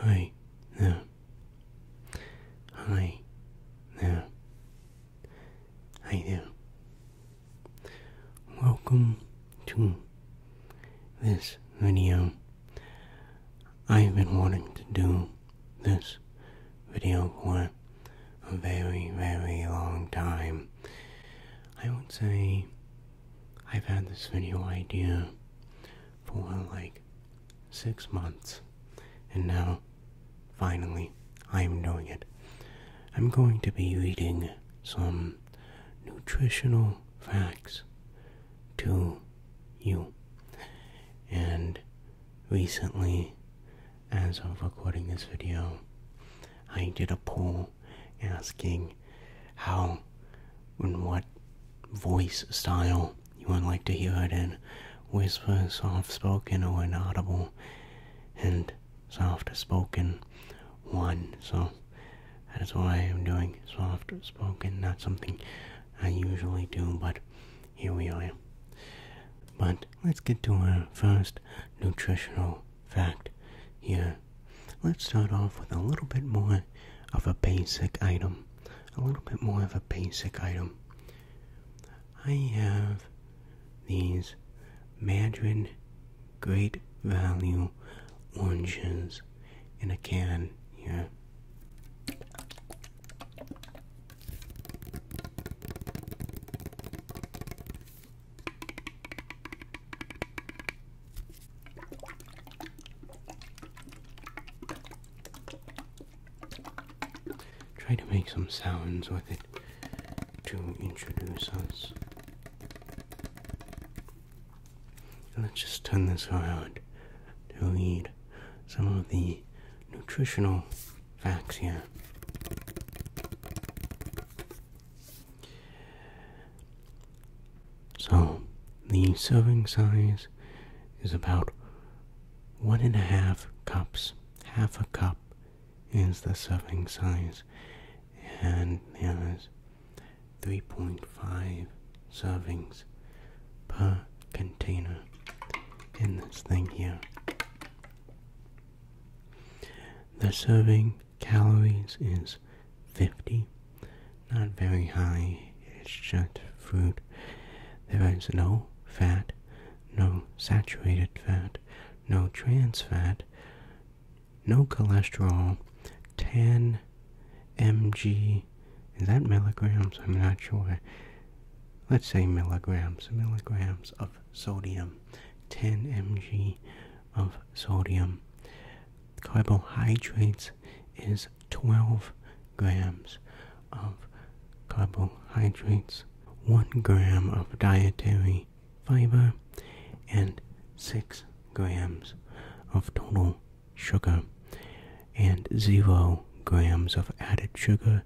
Hi there. Hi there. Hi there. Welcome to this video. I've been wanting to do this video for a very, very long time. I would say I've had this video idea for like six months, and now finally I'm doing it. I'm going to be reading some nutritional facts to you. And recently, as of recording this video, I did a poll asking how and what voice style you would like to hear it in whisper, soft spoken, or inaudible, and soft spoken one. So that is why I'm doing soft spoken, not something I usually do, but here we are. But let's get to our first nutritional fact here. Let's start off with a little bit more of a basic item a little bit more of a basic item. I have these Mandarin Great Value oranges in a can here. Try to make some sounds with it to introduce us. Let's just turn this around to read some of the nutritional facts here. So the serving size is about one and a half cups. Half a cup is the serving size, and there's 3.5 servings per container in this thing here. The serving calories is 50. Not very high, it's just fruit. There is no fat, no saturated fat, no trans fat, no cholesterol, 10 mg. Is that milligrams? I'm not sure. Let's say milligrams, milligrams of sodium, 10 mg of sodium. Carbohydrates is 12 grams of carbohydrates, 1 gram of dietary fiber, and 6 grams of total sugar, and 0 grams of added sugar,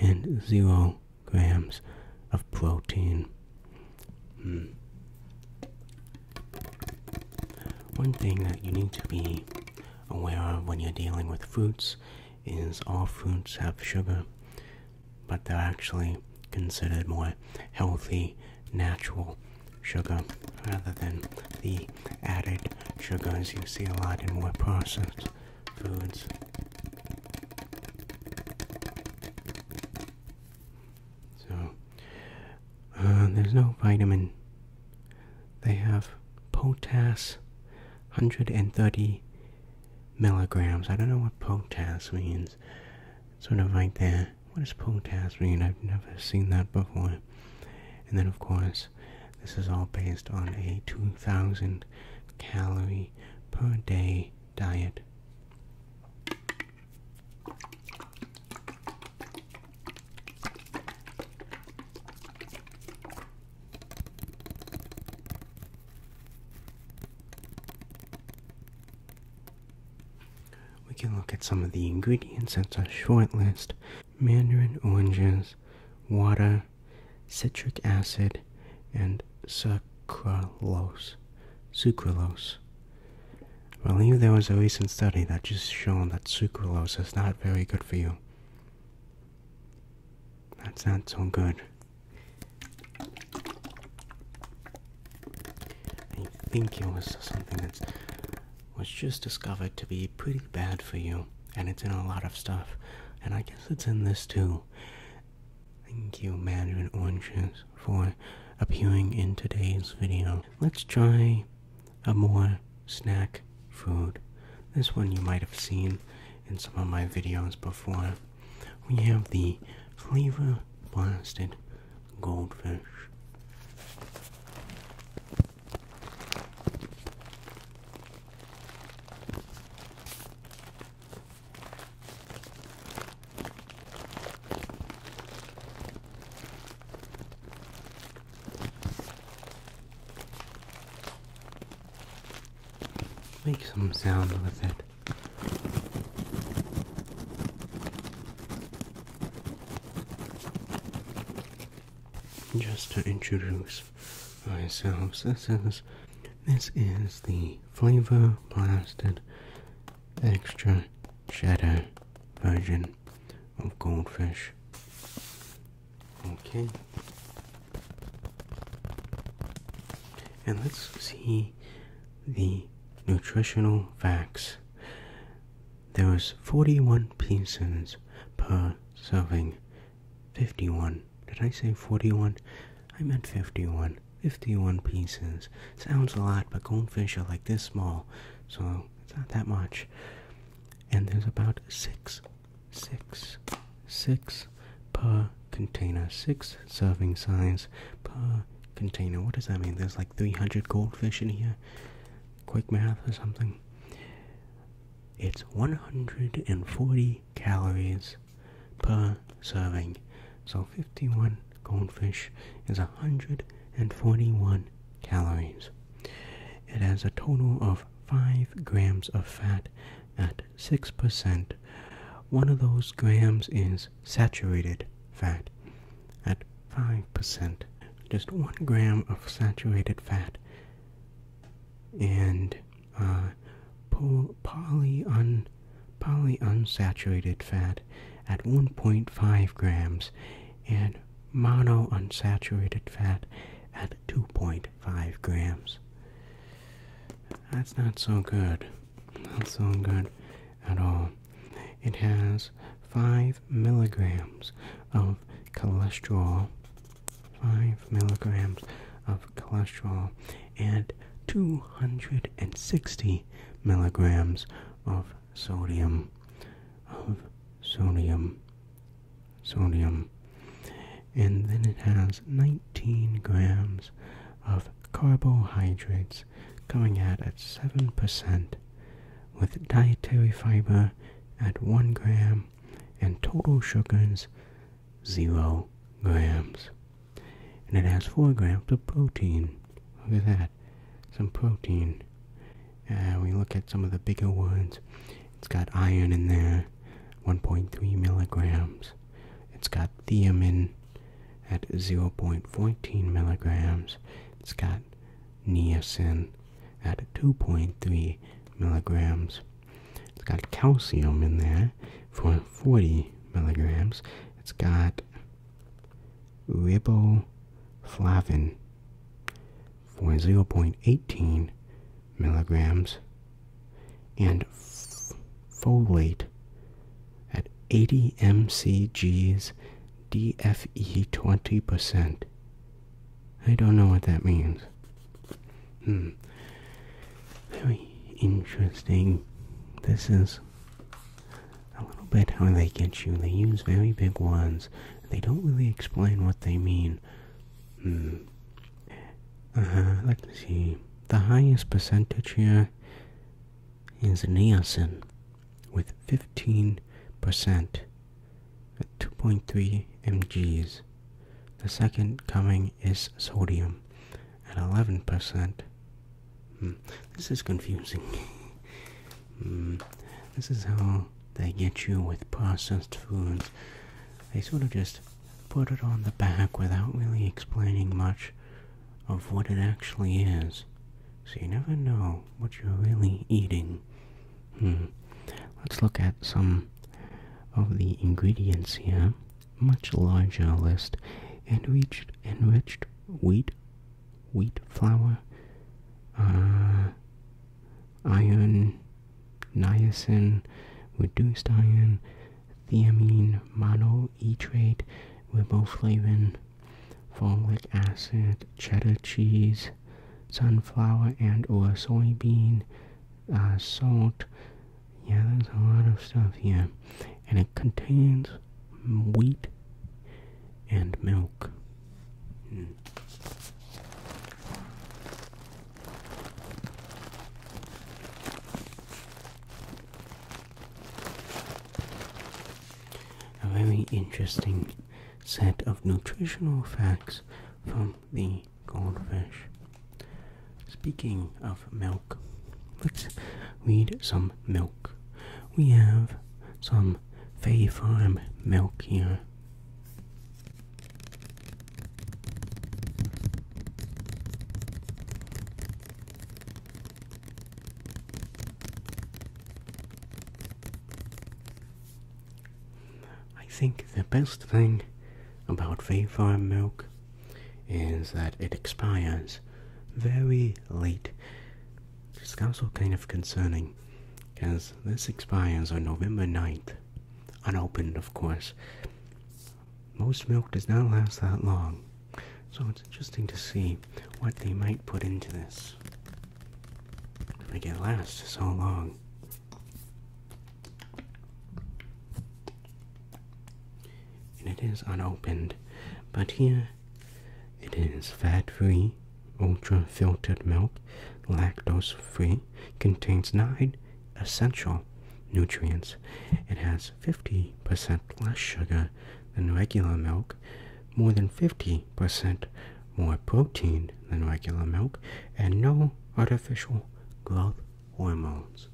and 0 grams of protein. Hmm. One thing that you need to be aware of when you're dealing with fruits is all fruits have sugar, but they're actually considered more healthy, natural sugar rather than the added sugars you see a lot in more processed foods. So, uh, there's no vitamin. They have potass 130 milligrams. I don't know what potass means. It's sort of like that. What does potass mean? I've never seen that before. And then, of course, this is all based on a 2,000 calorie per day diet. We can look at some of the ingredients. That's a short list mandarin oranges, water, citric acid, and sucralose. Sucralose. I believe there was a recent study that just showed that sucralose is not very good for you. That's not so good. I think it was something that was just discovered to be pretty bad for you, and it's in a lot of stuff. And I guess it's in this too. Thank you, Mandarin Oranges, for appearing in today's video. Let's try a more snack food. This one you might have seen in some of my videos before. We have the flavor blasted goldfish. Make some sound with it. Just to introduce myself, this is this is the flavor blasted extra shadow version of goldfish. Okay. And let's see the nutritional facts. There was 41 pieces per serving. 51. Did I say 41? I meant 51. 51 pieces. Sounds a lot, but goldfish are like this small, so it's not that much. And there's about six, six, six per container, six serving size per container. What does that mean? There's like 300 goldfish in here. Quick math or something. It's 140 calories per serving. So 51 goldfish is 141 calories. It has a total of 5 grams of fat at 6%. One of those grams is saturated fat at 5%. Just 1 gram of saturated fat. And uh, poly polyunsaturated fat at 1.5 grams and mono unsaturated fat at 2.5 grams. That's not so good. Not so good at all. It has 5 milligrams of cholesterol, 5 milligrams of cholesterol, and 260 milligrams of sodium of sodium. Sodium. And then it has 19 grams of carbohydrates coming out at 7%, with dietary fiber at 1 gram and total sugars 0 grams. And it has 4 grams of protein. Look at that some protein. Uh, we look at some of the bigger ones. It's got iron in there, 1.3 milligrams. It's got thiamin at 0.14 milligrams. It's got niacin at 2.3 milligrams. It's got calcium in there for 40 milligrams. It's got riboflavin for 0.18 milligrams and folate at 80 mcg's dfe 20% i don't know what that means hmm very interesting this is a little bit how they get you. They use very big ones. They don't really explain what they mean. Hmm. Uh-huh. let's see. The highest percentage here is niacin with 15% at uh, 2.3 mgs. The second coming is sodium at 11%. This is confusing. Hmm. this is how they get you with processed foods. They sort of just put it on the back without really explaining much of what it actually is. So you never know what you're really eating. Hmm. Let's look at some of the ingredients here. Much larger list. Enriched enriched wheat wheat flour, uh, iron, niacin, reduced iron, thiamine mono e riboflavin, folic acid, cheddar cheese, sunflower and or soybean, uh, salt. Yeah, there's a lot of stuff here. And it contains wheat, and milk. A very interesting set of nutritional facts from the goldfish. Speaking of milk, let's read some milk. We have some some milkier. I think the best thing about Fay milk is that it expires very late this It's also kind of concerning because this expires on November 9th, unopened, of course. Most milk does not last that long, so it's interesting to see what they might put into this to make it last so long. And it is unopened, but here it is fat-free, ultra-filtered milk, lactose-free, contains 9 essential nutrients. It has 50% less sugar than regular milk, more than 50% more protein than regular milk, and no artificial growth hormones.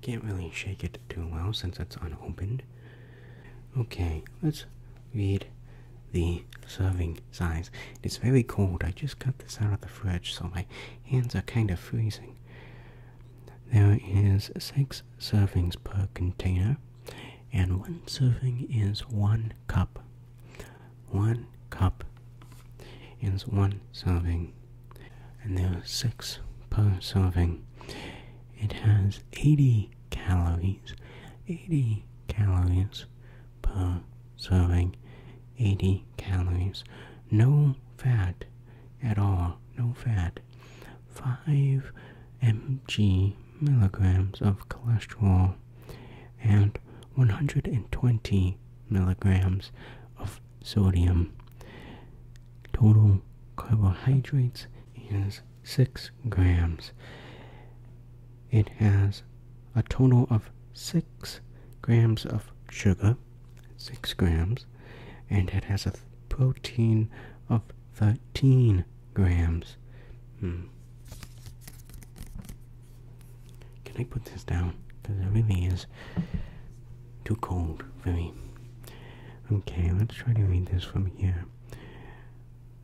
Can't really shake it too well since it's unopened. Okay, let's read the serving size. It's very cold. I just got this out of the fridge, so my hands are kind of freezing. There is six servings per container, and one serving is one cup. One cup is one serving and there are six per serving. It has 80 calories, 80 calories per serving, 80 calories, no fat at all, no fat, 5 mg milligrams of cholesterol, and 120 milligrams of sodium. Total carbohydrates is 6 grams. It has a total of 6 grams of sugar, 6 grams, and it has a protein of 13 grams. Hmm. Can I put this down? Because it really is too cold for me. Okay, let's try to read this from here.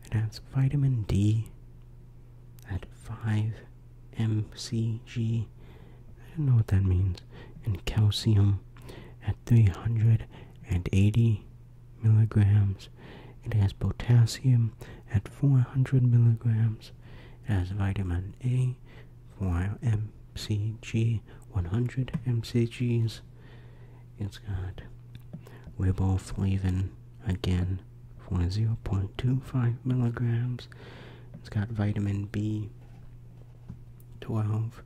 It has vitamin D at 5 mcg. I don't know what that means. And calcium at 380 milligrams. It has potassium at 400 milligrams. It has vitamin A for MCG 100 MCGs. It's got riboflavin again for 0.25 milligrams. It's got vitamin B 12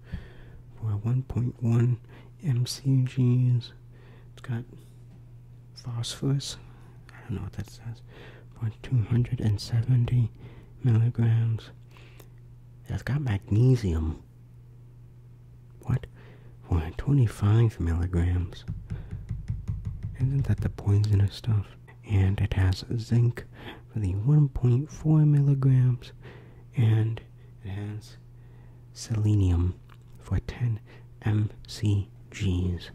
for 1.1 mcgs. It's got phosphorus. I don't know what that says. 270 milligrams it has got magnesium. What? For 25 milligrams. Isn't that the poisonous stuff? And it has zinc for the 1.4 milligrams. And it has selenium for 10 mcgs.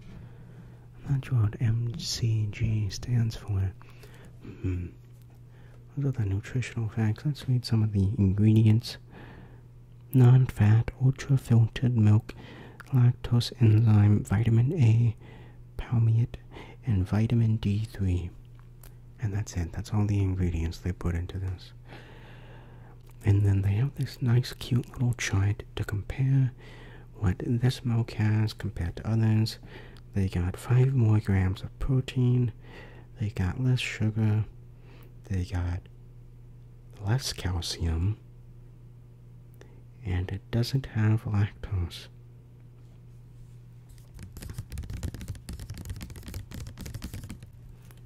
i not sure what mcg stands for. Hmm. Those are the nutritional facts. Let's read some of the ingredients non fat, ultra filtered milk, lactose enzyme, vitamin A, palmitate, and vitamin D3. And that's it. That's all the ingredients they put into this. And then they have this nice, cute little chart to compare what this milk has compared to others, they got five more grams of protein. They got less sugar. They got less calcium. And it doesn't have lactose.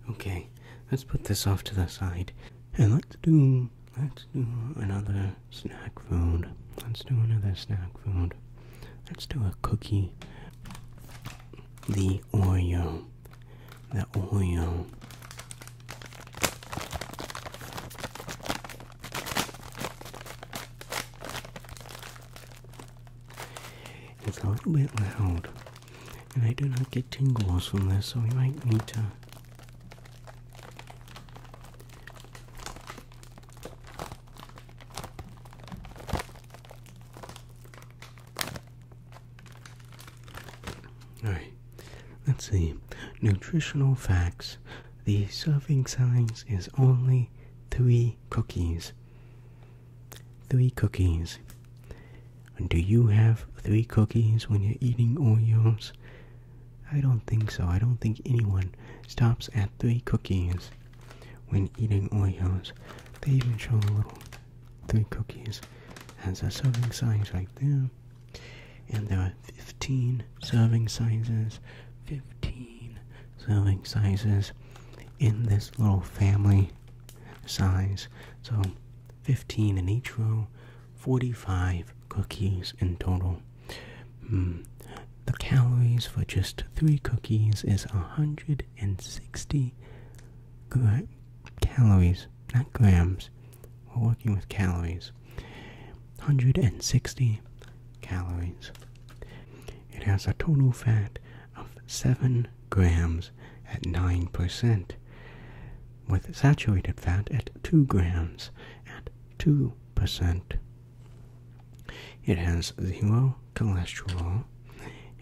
Okay, let's put this off to the side. And let's do let's do another snack food. Let's do another snack food. Let's do a cookie. The Oreo. The Oreo. It's a little bit loud, and I do not get tingles from this, so we might need to all right, let's see. Nutritional facts. The serving size is only three cookies. Three cookies. Do you have three cookies when you're eating Oreos? I don't think so. I don't think anyone stops at three cookies when eating Oreos. They even show the little three cookies as a serving size right there. And there are 15 serving sizes, 15 serving sizes in this little family size. So 15 in each row, 45 cookies in total. Hmm. the calories for just three cookies is 160 gra calories, not grams. We're working with calories. 160 calories. It has a total fat of 7 grams at 9%, with saturated fat at 2 grams at 2%. It has zero cholesterol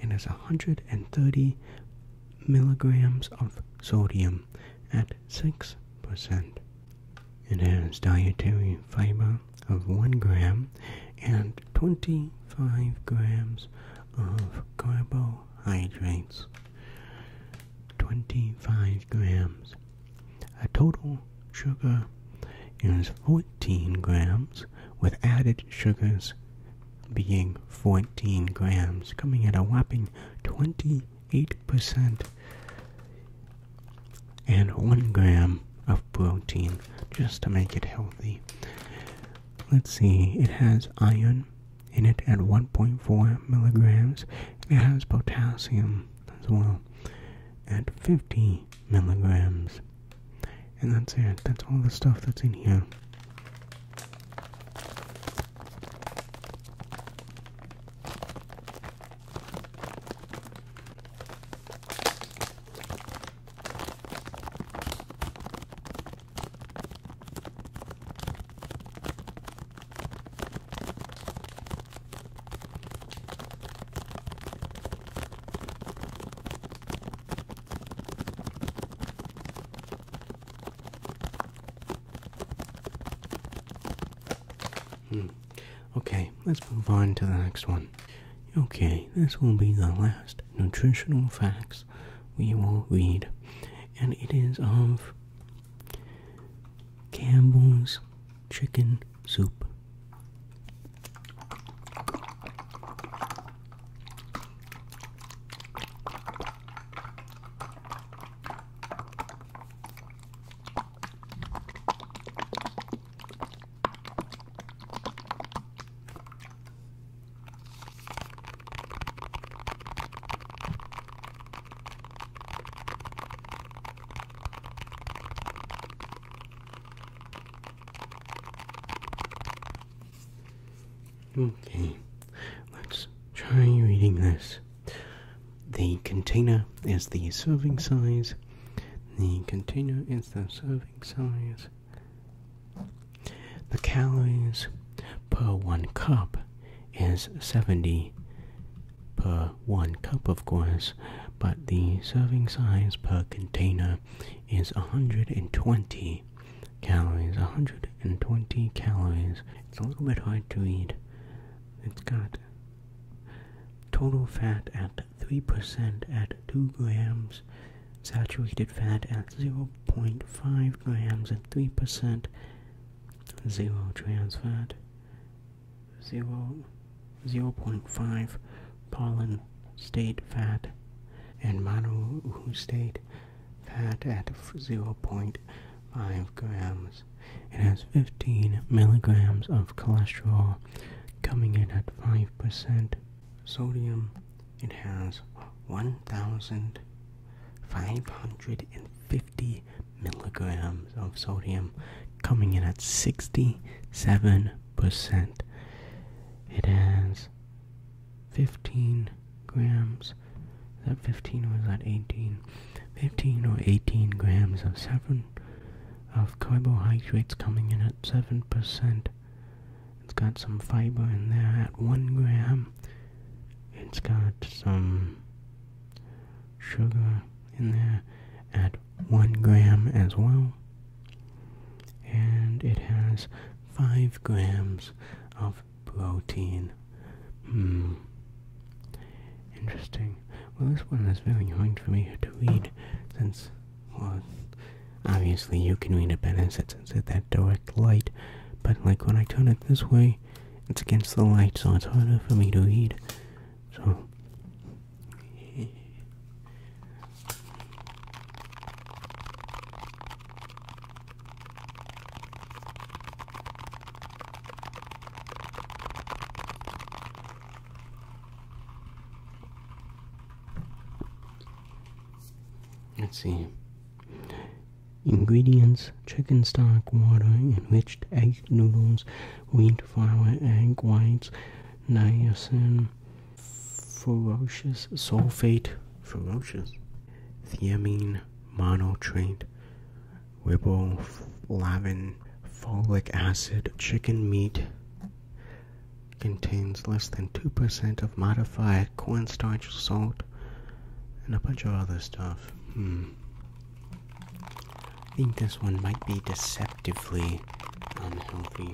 and has 130 milligrams of sodium at 6%. It has dietary fiber of 1 gram and 25 grams of carbohydrates. 25 grams a total sugar is 14 grams, with added sugars being 14 grams, coming at a whopping 28%, and 1 gram of protein just to make it healthy. Let's see, it has iron in it at 1.4 milligrams, it has potassium as well at 50 milligrams. And that's it. That's all the stuff that's in here. Hmm. Okay, let's move on to the next one. Okay, this will be the last nutritional facts we will read, and it is of Campbell's chicken soup. Okay, let's try reading this. The container is the serving size. The container is the serving size. The calories per one cup is 70 per one cup, of course, but the serving size per container is 120 calories. 120 calories. It's a little bit hard to read. It's got total fat at 3% at 2 grams, saturated fat at 0.5 grams at 3%, zero trans fat 0, 0 0.5 pollen state fat and mono state fat at 0.5 grams. It has 15 milligrams of cholesterol coming in at 5%. Sodium, it has 1,550 milligrams of sodium coming in at 67 percent. It has 15 grams. Is that 15 or is that 18? 15 or 18 grams of seven of carbohydrates coming in at 7%. It's got some fiber in there at 1 gram. It's got some sugar in there at one gram as well. And it has five grams of protein. Hmm. Interesting. Well, this one is very hard for me to read since, well, obviously you can read it better since it's at that direct light, but like when I turn it this way, it's against the light, so it's harder for me to read. So, Let's see. Ingredients chicken stock, water, enriched egg noodles, wheat flour, egg whites, niacin, ferrous sulfate, ferrous, thiamine, monotrate, riboflavin, folic acid. Chicken meat contains less than 2% of modified cornstarch, salt, and a bunch of other stuff. Hmm. I think this one might be deceptively unhealthy.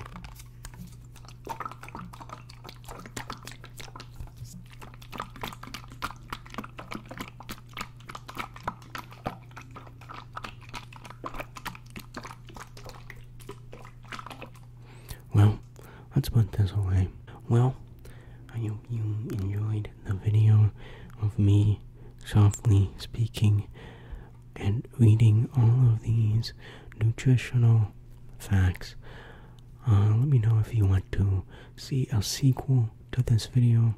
Well, let's put this away. Well, I hope you enjoyed the video of me softly speaking and reading all of these nutritional facts. Uh, let me know if you want to see a sequel to this video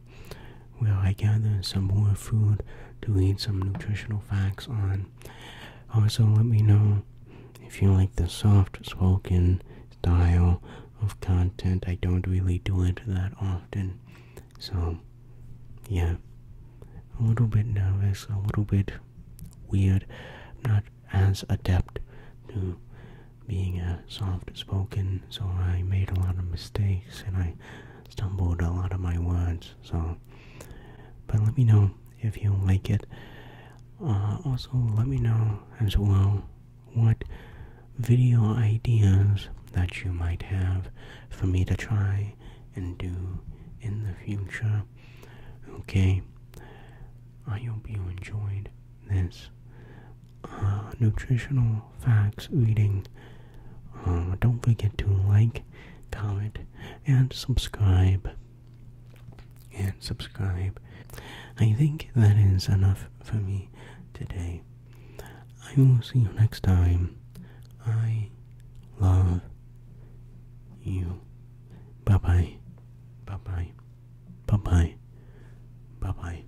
where I gather some more food to read some nutritional facts on. Also, let me know if you like the soft spoken style of content. I don't really do it that often. So, yeah, a little bit nervous, a little bit weird. not as adept to being a soft spoken, so I made a lot of mistakes and I stumbled a lot of my words. So, but let me know if you like it. Uh, also, let me know as well what video ideas that you might have for me to try and do in the future. Okay, I hope you enjoyed this uh, nutritional facts reading. Uh, don't forget to like, comment, and subscribe. And subscribe. I think that is enough for me today. I will see you next time. I love you. Bye bye. Bye bye. Bye bye. Bye bye.